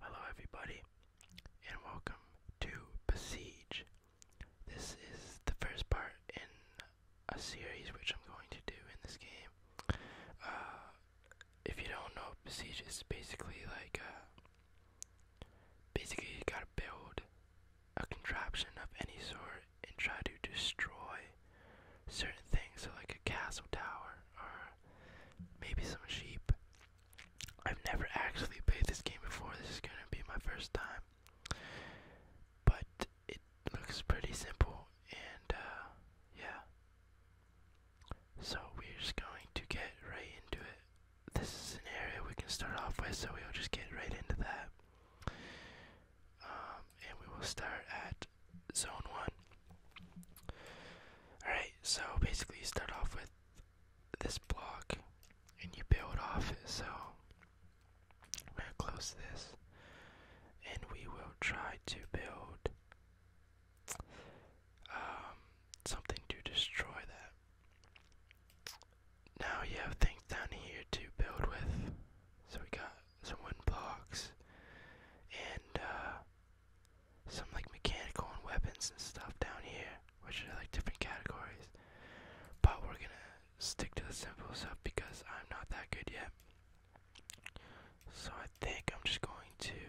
Hello, everybody, and welcome to Besiege. This is the first part in a series which I'm going to do in this game. Uh, if you don't know, Besiege is basically like, uh, basically you gotta build a contraption of any sort and try to destroy certain things, so like a castle tower or maybe some sheep. I've never actually played this game before, this is gonna be my first time. But it looks pretty simple and uh, yeah. So we're just going to get right into it this is an area we can start off with, so we'll just get right into that. Um, and we will start at zone one. Alright, so basically, you start off with this block and you build off it. So, we're going to close this and we will try to build um, something to destroy that. Now you have things down here to build with. So we got some wooden blocks and uh, some like mechanical and weapons and stuff down here, which are like different categories. But we're gonna stick to the simple stuff because I'm not that good yet. So I think I'm just going to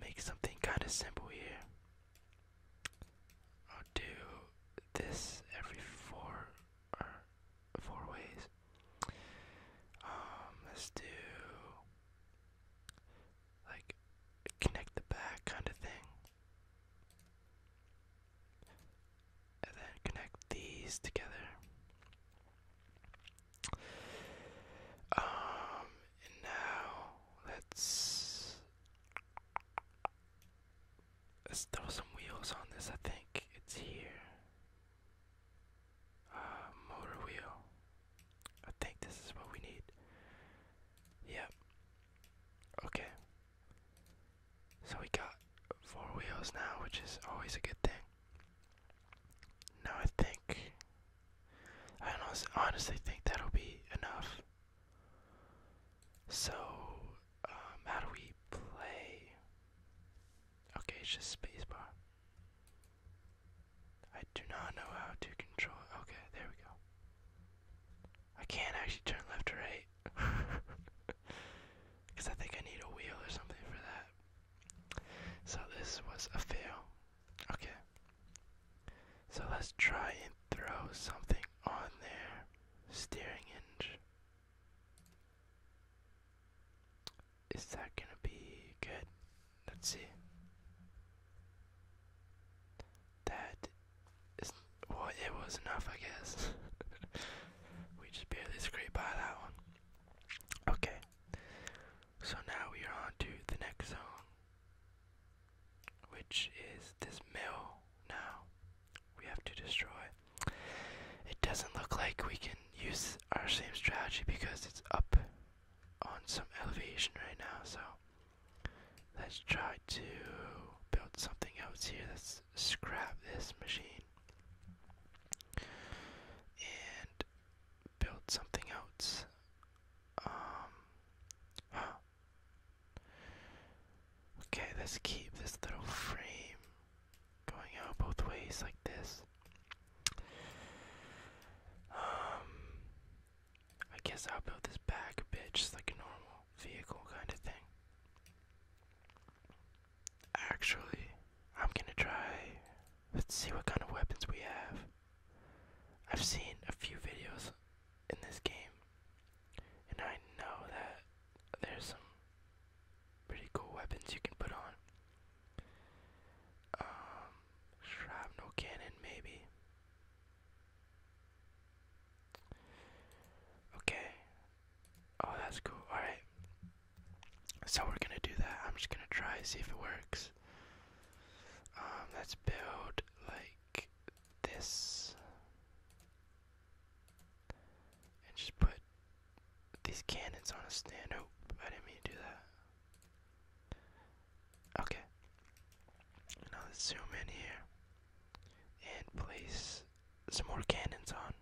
make something kind of simple here. I'll do this every four or uh, four ways. Um, let's do like connect the back kind of thing. And then connect these together. Um, and now let's Let's throw some wheels on this. I think it's here. Uh, motor wheel. I think this is what we need. Yep. Okay. So we got four wheels now, which is always a good thing. Now I think. I honestly think that'll be enough. So, um, how do we play? Okay, it's just spacebar. I do not know how to control it. Okay, there we go. I can't actually turn left or right. Because I think I need a wheel or something for that. So this was a fail. Okay. So let's try and throw something on there. Steering hinge. Is that gonna be good? Let's see. That is well it was enough I guess. we just barely scraped by that one. Okay. So now we are on to the next zone which is this mill now we have to destroy. It doesn't look like we can use our same strategy because it's up on some elevation right now, so let's try to build something else here. Let's scrap this machine and build something else. Um, Okay, let's keep this little frame going out both ways like this. Um, I guess I'll build this back a bit, just like a normal vehicle kind of thing. Actually, I'm gonna try. Let's see what kind of weapons we have. I've seen a few videos in this game, and I know that there's some pretty cool weapons you can put on. Um, shrapnel cannon, maybe. Okay. Oh, that's cool. Alright. So we're gonna do that. I'm just gonna try, see if it works. Um, let's build, like, this and just put these cannons on a stand. Oh, I didn't mean to do that. Okay. Now let's zoom in here and place some more cannons on.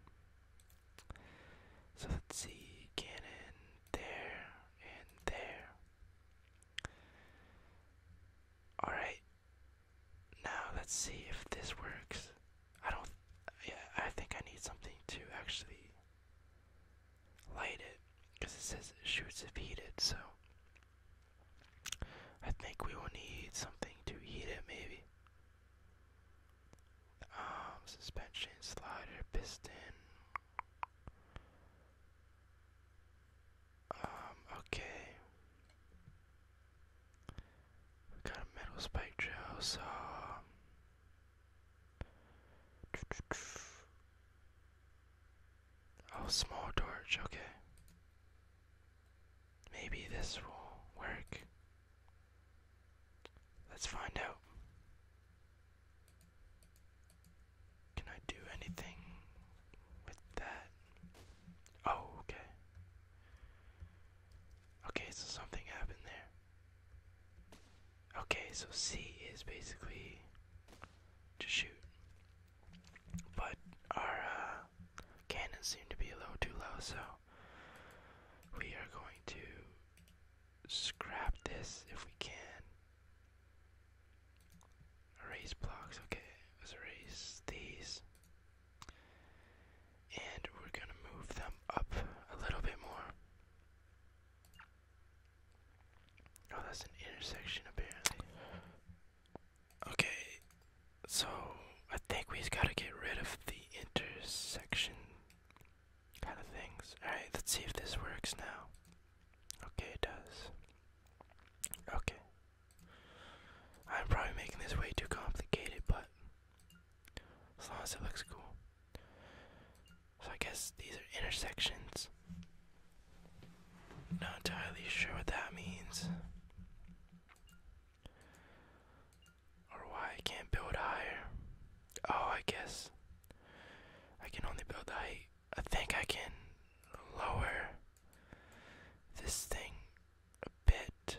So let's see, cannon there and there. Alright. Now let's see if this works. I don't yeah, I think I need something to actually light it because it says it shoots if heated, so I think we will need something to heat it maybe. Um suspension, slider, piston. Um, okay. got a metal spike drill, so um, Oh, small torch, okay. Maybe this will work. Let's find out. Can I do anything with that? Oh, okay. Okay, so something happened there. Okay, so C is basically to shoot. But our uh, cannons seem to be a little too low, so we are going to scrap this if we can. Erase blocks, okay, let's erase these. And we're gonna move them up a little bit more. Oh, that's an intersection apparently. Okay, so I think we just gotta get rid of the intersection kind of things. Alright, let's see if this works now. Okay, it does. Okay. I'm probably making this way too complicated, but as long as it looks cool. So I guess these are intersections. Not entirely sure what that means. Or why I can't build higher. Oh, I guess I can only build the height I think I can lower this thing a bit.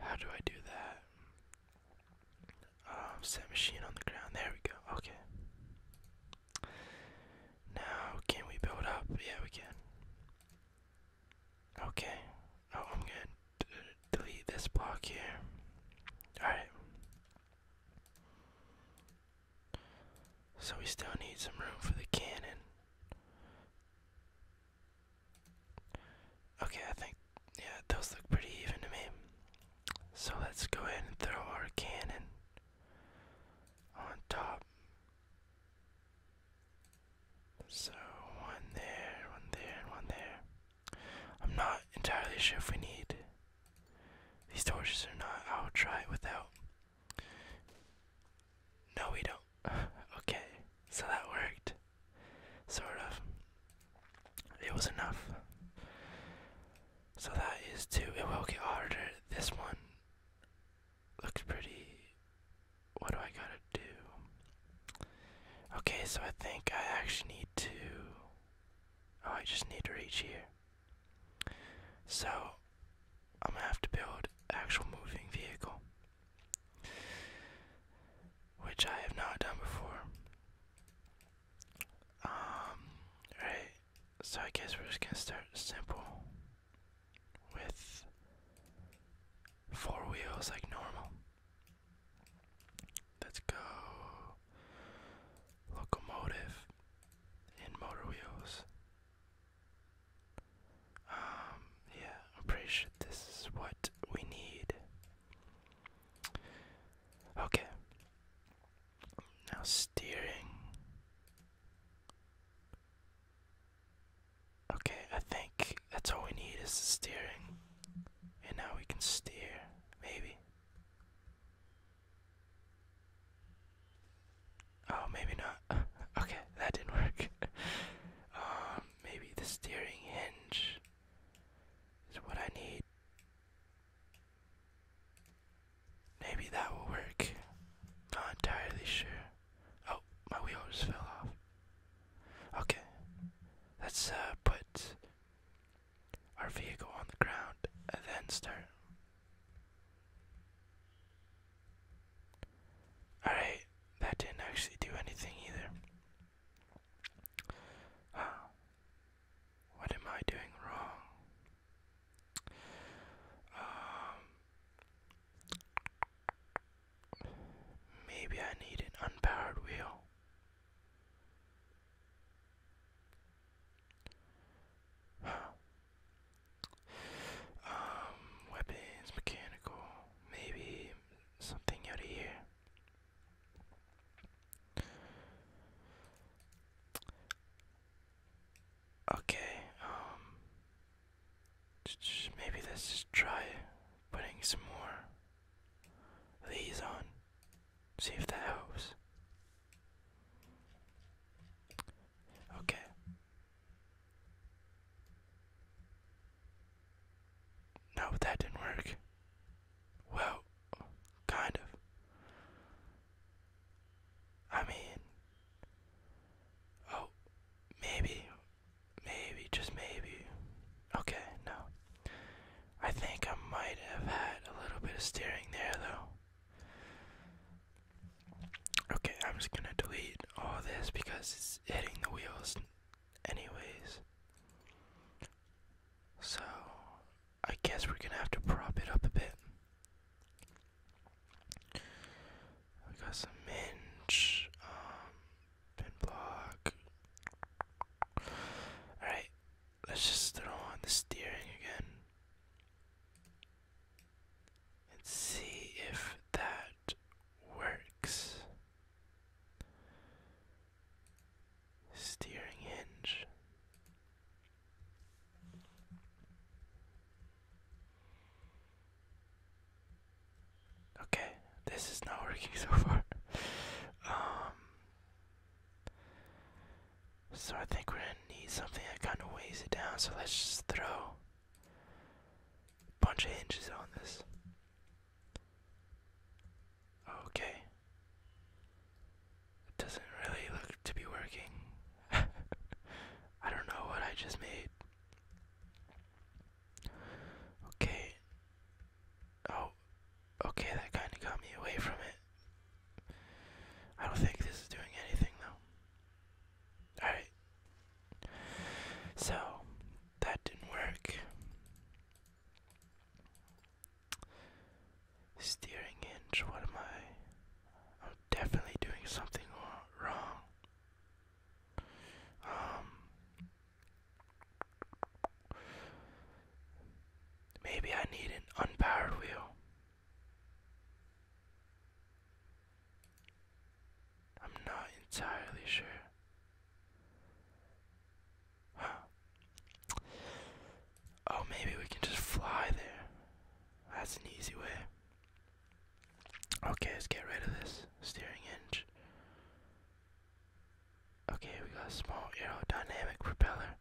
How do I do that? Um, set machine on the ground. There we go. Okay. Now, can we build up? Yeah, we can. Okay. Oh, I'm gonna delete this block here. Alright. So we still need some room for the cannon. Okay, I think, yeah, those look pretty even to me. So let's go ahead and throw our cannon on top. So one there, one there, and one there. I'm not entirely sure if we need these torches or not. I'll try without. No, we don't. okay, so that worked. Sort of. It was enough. So that is two. It will get harder. This one looks pretty. What do I gotta do? Okay, so I think I actually need to. Oh, I just need to reach here. So, I'm gonna have to build actual moving vehicle, which I have not done before. Um, alright, so I guess we're just gonna start simple with four wheels like normal. Let's go. Locomotive and motor wheels. Um, yeah, I'm pretty sure this is what we need. Okay. Now steering. Okay, I think that's all we need is the steering. And now we can steer, maybe. Oh, maybe not. okay, that didn't work. um, maybe the steering hinge is what I need. Maybe that will work. Not entirely sure. Oh, my wheel just fell off. Okay, let's uh, put our vehicle on the ground and then start. Alright, that didn't actually do anything either. What am I doing wrong? Um, maybe I need an unpowered wheel. Um, weapons, mechanical, maybe something out of here. Okay, um, maybe let's just try putting some more these on. See if that helps. Okay. No, that didn't work. Well, kind of. I mean, oh, maybe, maybe, just maybe, Okay, no. I think I might have had a little bit of steering there, though. Okay, I'm just gonna delete all this because it's hitting the wheels, anyways. So, I guess we're gonna have to prop it up a bit. We got some minge, um, pin block. Alright, Let's just throw on the steering again and see if that works. Steering hinge. Okay, this is not working so far. Um, so I think we're gonna need something that kind of weighs it down. So let's just throw a bunch of hinges on this. Okay. doesn't really look to be working. I don't know what I just made. Okay. Oh, okay, that kind of got me away from it. I don't think this is doing anything though. Alright. So, that didn't work. Steering hinge, what am I? I'm definitely doing something wrong. Um, Maybe I need an unpowered wheel. I'm not entirely sure. Oh, maybe we can just fly there. That's an easy way. Okay, let's get rid of this steering hinge. Okay, we got a small aerodynamic propeller.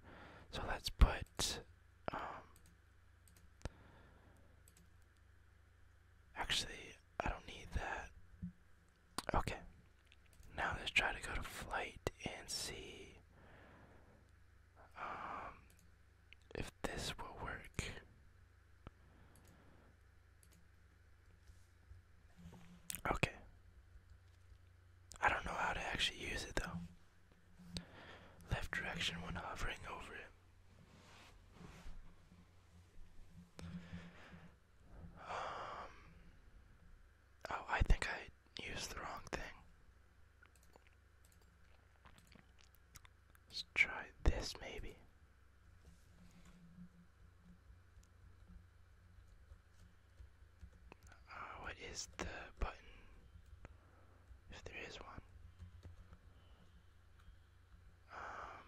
So let's put, um, actually, I don't need that. Okay, now let's try to go to flight and see, um, if this will work. Okay. I don't know how to actually use it though. Left direction when hovering over it. Um. Oh, I think I used the wrong thing. Let's try this maybe. Uh, what is the button? If there is one. Um,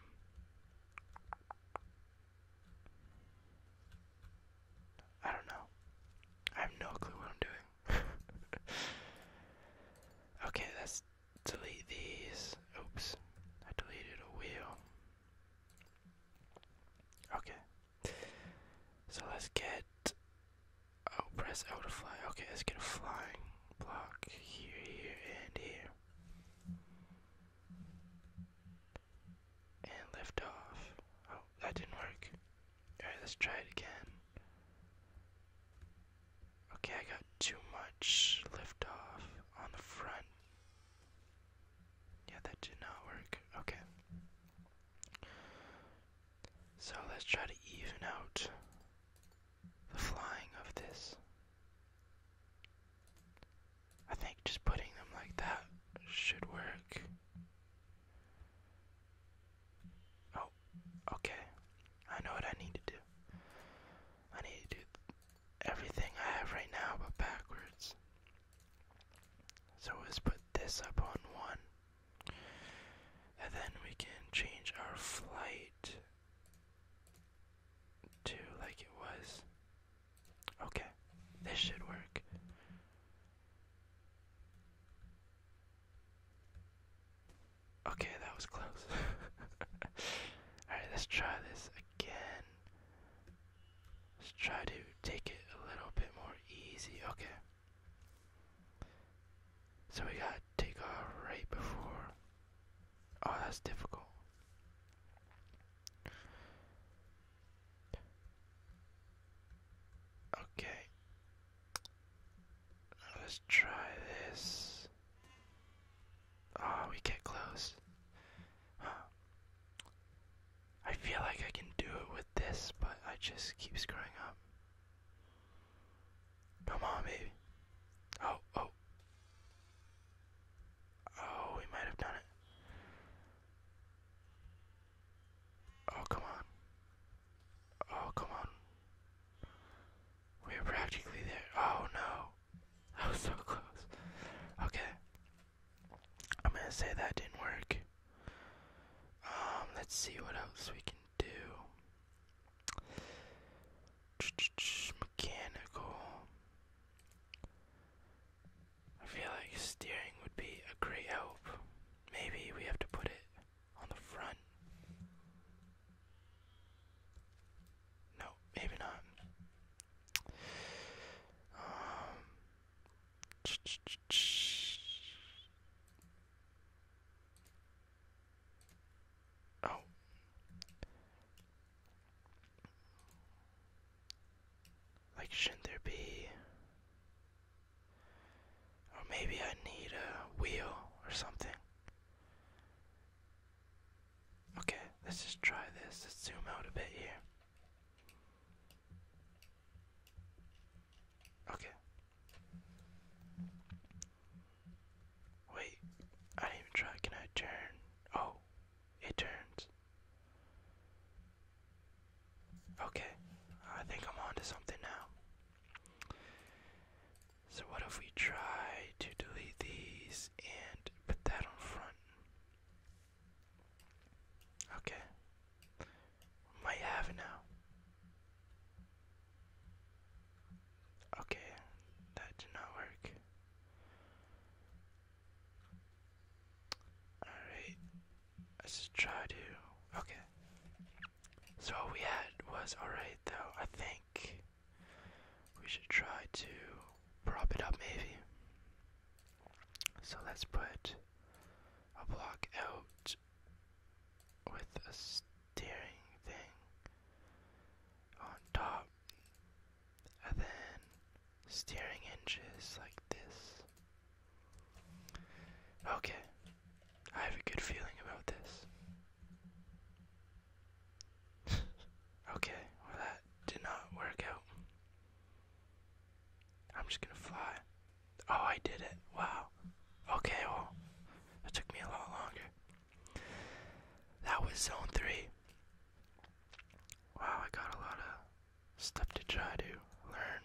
I don't know. I have no clue what I'm doing. okay, let's delete these. Oops, I deleted a wheel. Okay, so let's get. Oh, press L to fly. Okay, let's get a flying block here, here, and here. And lift off. Oh, that didn't work. Alright, let's try it again. Okay, I got too much lift on the front. Yeah, that did not work. Okay. So let's try to even out the flying of this. I think just putting them like that should work. Oh, okay. I know what I need to do. I need to do everything I have right now, but backwards. So let's put this up on one. And then we can change our flight to like it was. Okay, this should work. Okay, that was close. Alright, let's try this again. Let's try to take it a little bit more easy. Okay. So we got to take takeoff right before. Oh, that's difficult. Okay. Let's try this. Oh, we get close. I feel like I can do it with this, but I just keep screwing up. Come on, baby. Oh, oh. Oh, we might have done it. Oh, come on. Oh, come on. We're practically there. Oh, no. That was so close. Okay. I'm gonna say that didn't work. Um, let's see what else we can do. Mechanical. I feel like steering would be a great help. Maybe we have to put it on the front. No, maybe not. Um, oh. Like, shouldn't there be. Or maybe I need a wheel or something. Okay, let's just try this. Let's zoom out a bit here. Okay. Wait, I didn't even try. Can I turn? Oh, it turns. Okay, I think I'm on something now. So, what if we try to delete these and put that on front? Okay. might have it now. Okay, that did not work. Alright, let's try to. Okay. So, we had was alright, though. I think we should try to prop it up, maybe. So let's put a block out with a steering thing on top, and then steering hinges like this. Okay, I have a good feeling about this. okay, well, that did not work out. I'm just gonna fly. Oh, I did it. Wow. Okay, well, that took me a lot longer. That was zone three. Wow, I got a lot of stuff to try to learn.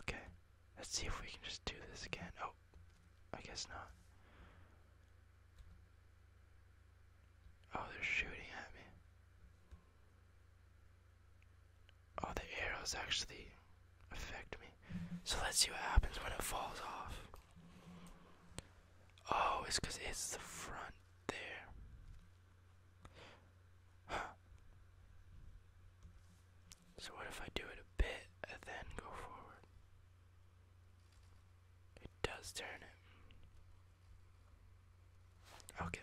Okay, let's see if we can just do this again. Oh, I guess not. Oh, they're shooting at me. Oh, the arrows actually affect me. So let's see what happens when it falls off. Oh, it's because it's the front there. So what if I do it a bit and then go forward? It does turn it. Okay.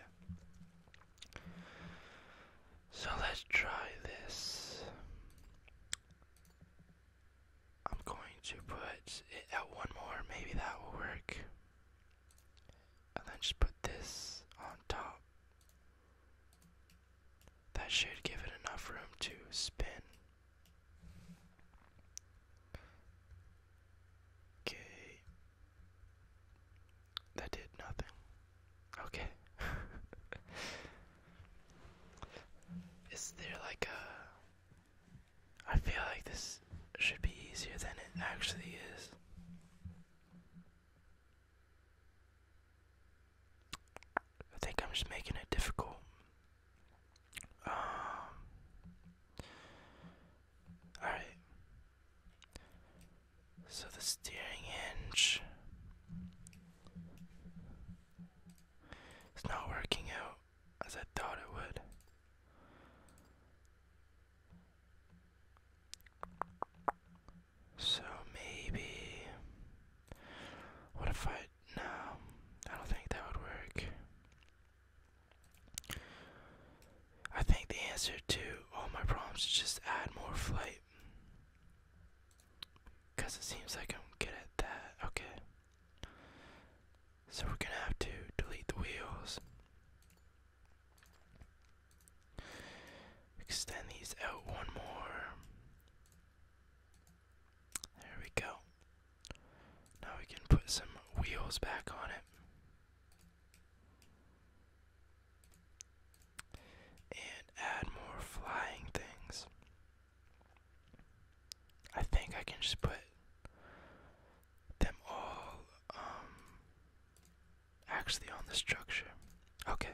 So let's try this. I'm going to put one more, maybe that will work. And then just put this on top. That should give it enough room to spin. Okay. That did nothing. Okay. Is there like a. I feel like this should be easier than it actually is. I think I'm just making it difficult. Um, Alright. So the steering hinge is not working out as I thought it would. So maybe. What if I. No, I don't think that would work. I think the answer to all my problems is just add more flight. Because it seems like I'm good at that. Okay. So we're going to have to delete the wheels. Extend these out one more. There we go. Now we can put some wheels back on it. And add more flying things. I think I can just put them all um, actually on the structure. Okay.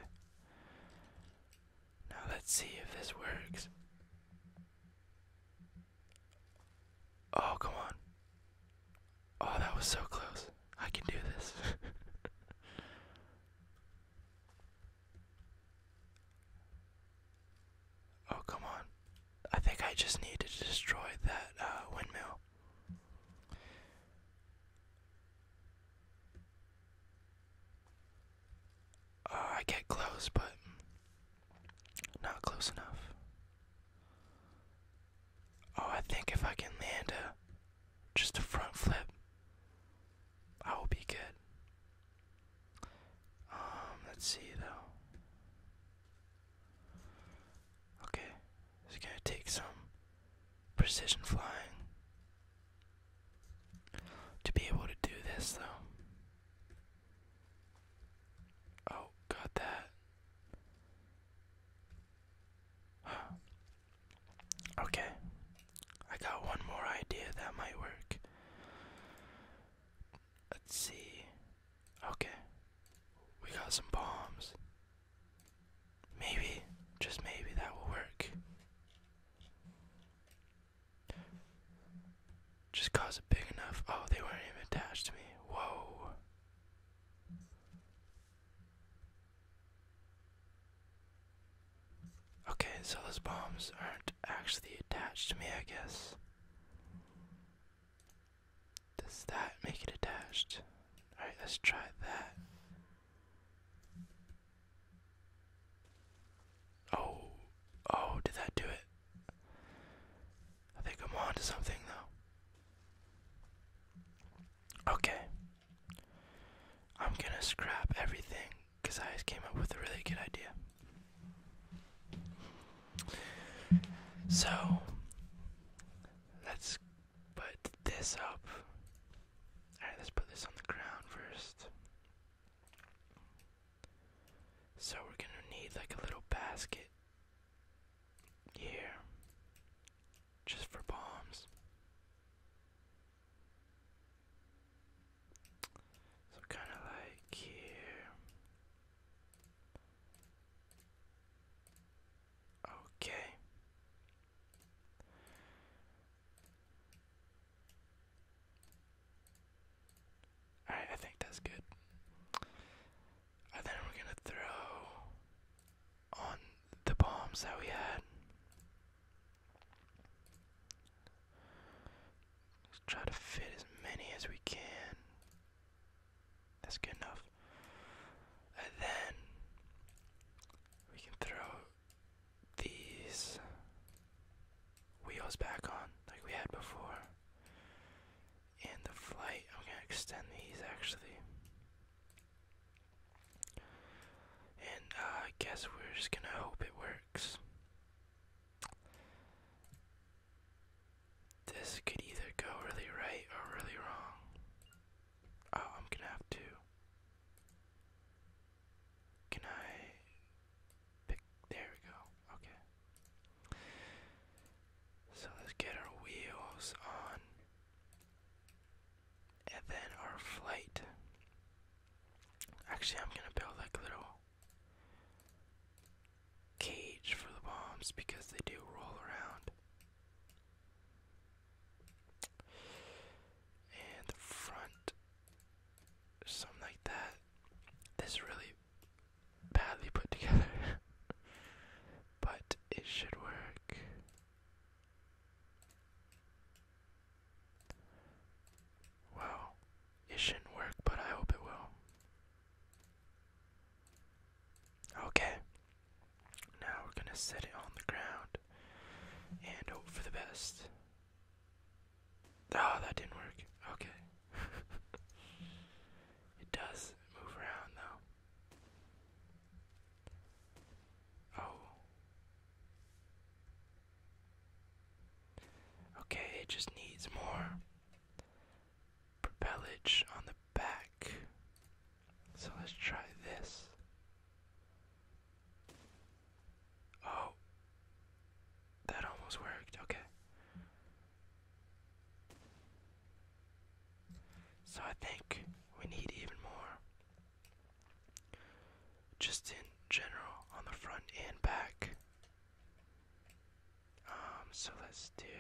Now let's see if this works. Oh, come on. Oh, that was so close. I can do this. oh, come on. I think I just need to destroy that uh, windmill. Uh, I get close, but not close enough. Oh, I think if I can land a just a front flip, I will be good. Um, let's see though. Okay, it's gonna take some precision flying to be able to do this though. Oh, got that. Okay, I got one more idea that might work. Let's see. Okay, we got some bombs. Maybe, just maybe, that will work. Just cause it big enough. Oh, they weren't even attached to me. Whoa. Okay, so those bombs aren't actually attached to me, I guess. Does that make it attached? Alright, let's try that. Oh, oh, did that do it? I think I'm on to something though. Okay. I'm gonna scrap everything because I just came up with a really good idea. So, let's put this up. Alright, let's put this on the ground first. So we're gonna need like a little basket here just for bombs. So kind of like here. Okay. I think that's good. And then we're gonna throw on the bombs that we had. let try to fit as many as we can. That's good enough. And then we can throw these wheels back on like we had before. And the flight, I'm gonna extend these actually. And uh, I guess we're just gonna hope it works. This could either go really right or really wrong. Oh, I'm gonna have to. Can I there we go. Okay. So let's get our wheels on. And then our flight. Actually, I'm gonna build like a little cage for the bombs because they do roll around. And the front, something like that this really badly put together, but it should work. Well, it shouldn't work, but I hope it will. Okay, now we're gonna set it on the ground and hope for the best. Oh, that didn't work. Okay. it does move around, though. Oh. Okay, it just needs more propellage on the back. So let's try this. Oh. That almost worked. Okay. So I think we need even more. Just in general, on the front and back. Um, so let's do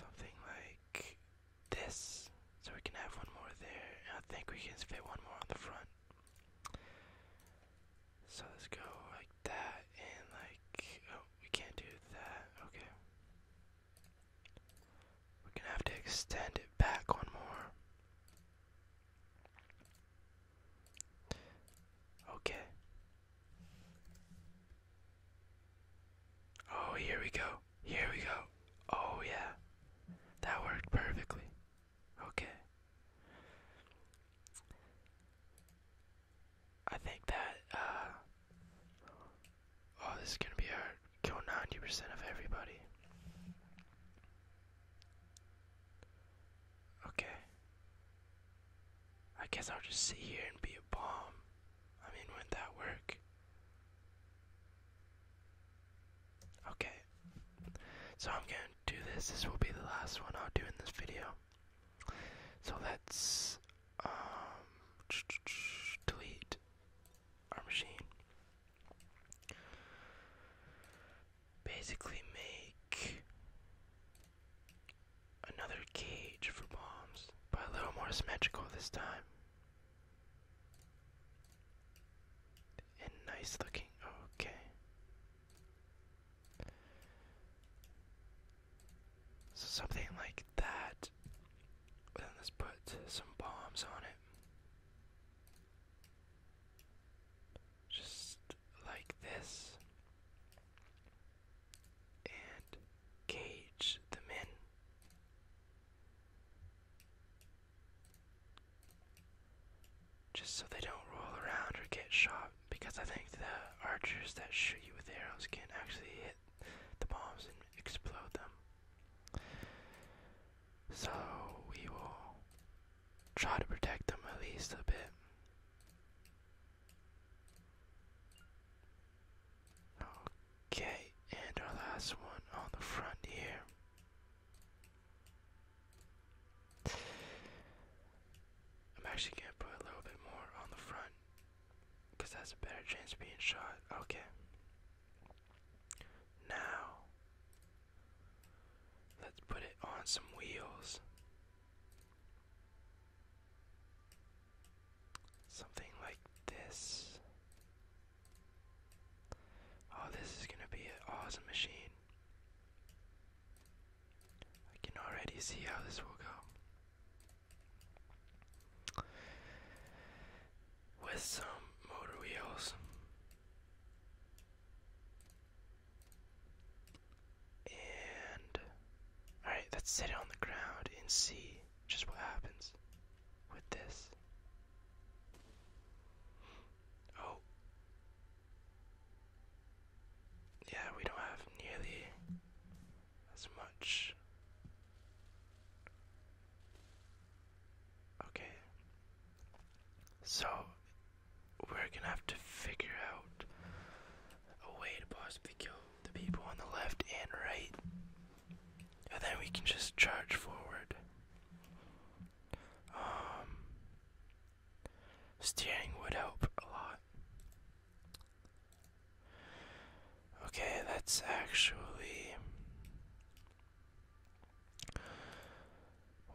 something like this. So we can have one more there. I think we can fit one more on the front. So let's go like that and like oh we can't do that. Okay. We're gonna have to extend it back one more. Okay. Oh, here we go. Here we go. Oh, yeah. That worked perfectly. Okay. I think that, uh, oh, this is gonna be hard. Kill 90% of everybody. Okay. I guess I'll just sit here and be a bomb. I mean, wouldn't that work? Okay. So I'm going to do this. This will be the last one I'll do in this video. So let's um, delete our machine. Basically make another cage for bombs, but a little more symmetrical this time. And nice looking. Okay. So something like that. Then let's put some bombs on it. Just like this. And cage them in. Just so they don't roll around or get shot, because I think the archers that shoot you with arrows can actually hit the bombs and explode them. So we will try to protect them at least a bit. Okay, and our last one on the front here. I'm actually gonna put a little bit more on the front because that's a better chance of being shot. Okay. Now, let's put it on some wheels. Something like this. Oh, this is gonna be an awesome machine. I can already see how this will go. With some motor wheels and all right, let's set it on the ground and see just what happens with this. Oh. Yeah, we don't have nearly as much. Okay. So, we're gonna have to figure out a way to possibly kill the people on the left and right. And then we can just charge forward. Um, steering would help a lot. Okay, that's actually.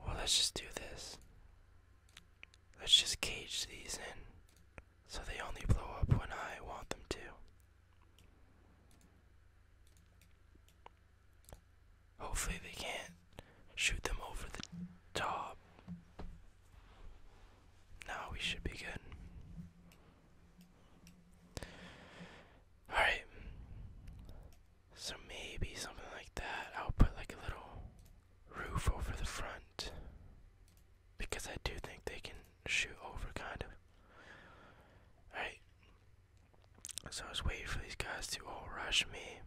Well, let's just do this. Let's just cage these in so they only blow up when I want them to. Hopefully, they can't shoot them over the top. Now we should be good. Alright. So maybe something like that. I'll put like a little roof over the front. Because I do think they can shoot over, kind of. Alright. So I was waiting for these guys to all rush me.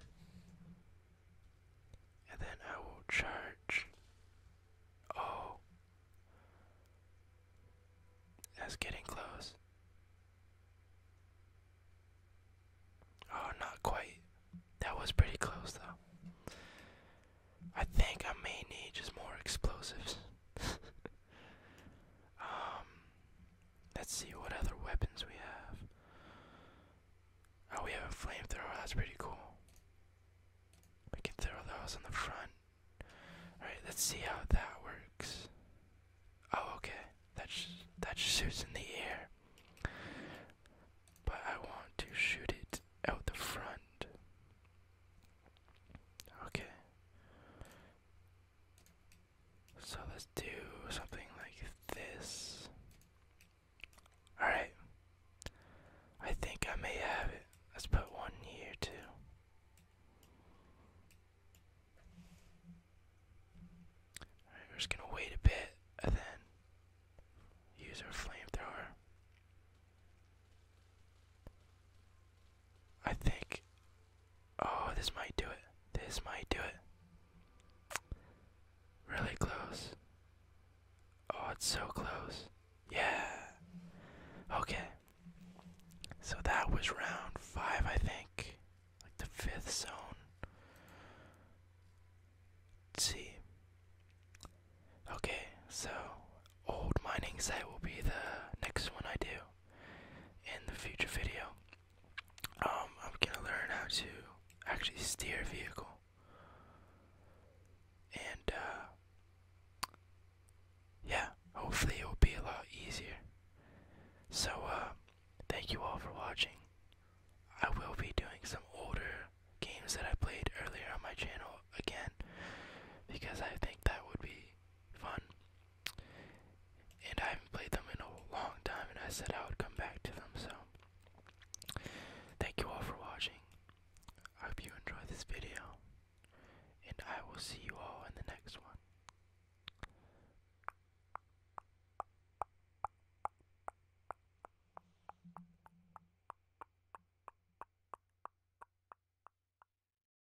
And then I will charge. Oh. That's getting close. Oh, not quite. That was pretty close, though. I think I may need just more explosives. um, Let's see what other weapons we have. Oh, we have a flamethrower. Oh, that's pretty cool. We can throw those on the front. Alright, let's see how that works. Oh, okay. That, that shoots in the air. But I want to shoot it out the front. Okay. So let's do something like this. Alright. I think I may have it. Let's put one here too. Alright, we're just gonna wait a bit and then use our flamethrower. I think Oh, this might do it. This might do it. Really close. Oh, it's so close. Yeah. Okay. So that was round five, I think. Like the fifth zone. Let's see. Okay, so old mining site will be the next one I do in the future video. Um, I'm gonna learn how to actually steer a vehicle, and uh, yeah, hopefully it will be a lot easier. So, uh, thank you all for watching. I will be doing some older games that I played earlier on my channel again because I think that would be fun and I haven't played them in a long time, and I said I would come back to them, so thank you all for watching. I hope you enjoyed this video, and I will see you all in the next one.